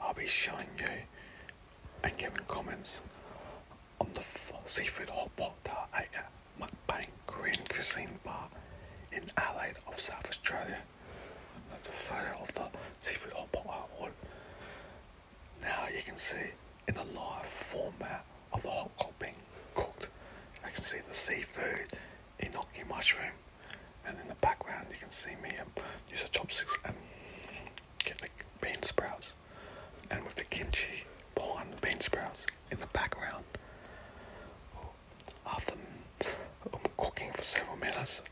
I'll be showing you and giving comments on the seafood hot pot at Mukbang Korean Cuisine Bar in Adelaide of South Australia. That's a photo of the seafood hot pot Now you can see in the live format of the hot pot being cooked, I can see the seafood, enoki mushroom, and in the background you can see me um, use a chopstick and get the bean sprouts and with the kimchi pour the bean sprouts in the background after um, cooking for several minutes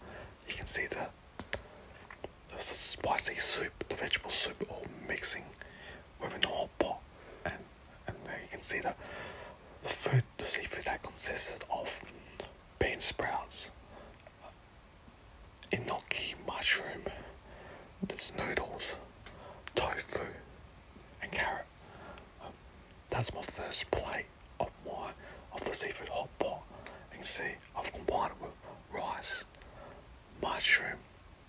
you can see the, the spicy soup the vegetable soup all mixing within the hot pot and and there you can see the the food the seafood that consisted of bean sprouts, enoki mushroom, there's noodles, tofu, and carrot. that's my first plate of my of the seafood hot pot. You can see I've combined it with rice, mushroom,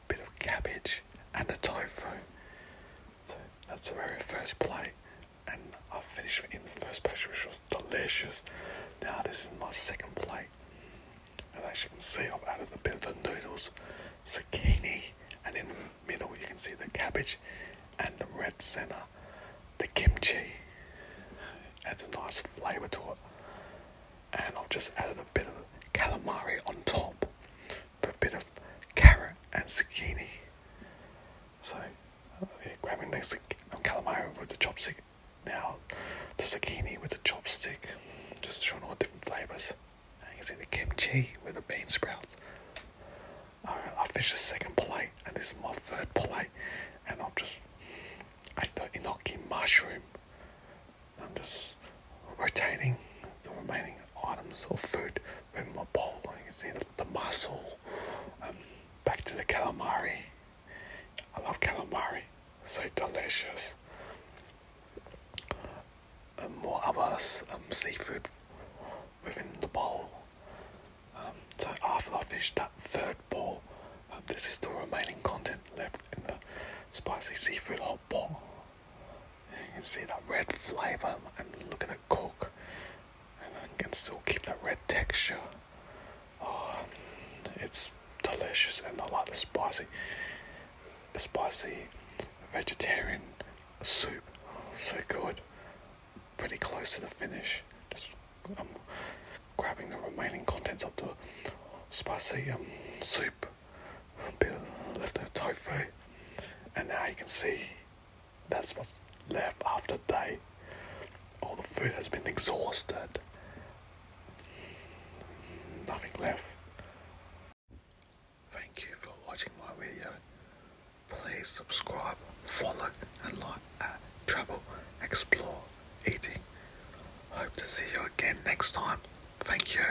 bit of cabbage, and the tofu. So that's the very first plate and I finished eating the first pastry, which was delicious. Now this is my second plate, and as you can see, I've added a bit of noodles, zucchini, and in the middle you can see the cabbage and the red center, the kimchi. Adds a nice flavour to it, and I've just added a bit of calamari on top, with a bit of carrot and zucchini. So, yeah, grabbing the calamari with the chopstick. Now, the zucchini with the chopstick, just showing all different flavors. you can see the kimchi with the bean sprouts. I, have finished the second plate, and this is my third plate. And I'm just at the enoki mushroom. I'm just rotating the remaining items of food in my bowl. you see the the mussel, um, back to the calamari. I love calamari, so delicious. And more other um, seafood within the bowl. Um, so after I finished that third bowl, this is the remaining content left in the spicy seafood hot pot. You can see that red flavour and look at coke and I can still keep that red texture. Oh, it's delicious and I like the spicy, spicy vegetarian soup. So good. Pretty close to the finish. Just I'm um, grabbing the remaining contents of the spicy um, soup. A bit left of tofu, and now you can see that's what's left after day. all the food has been exhausted. Nothing left. Thank you for watching my video. Please subscribe, follow and like at Travel Explore Eating. Hope to see you again next time. Thank you.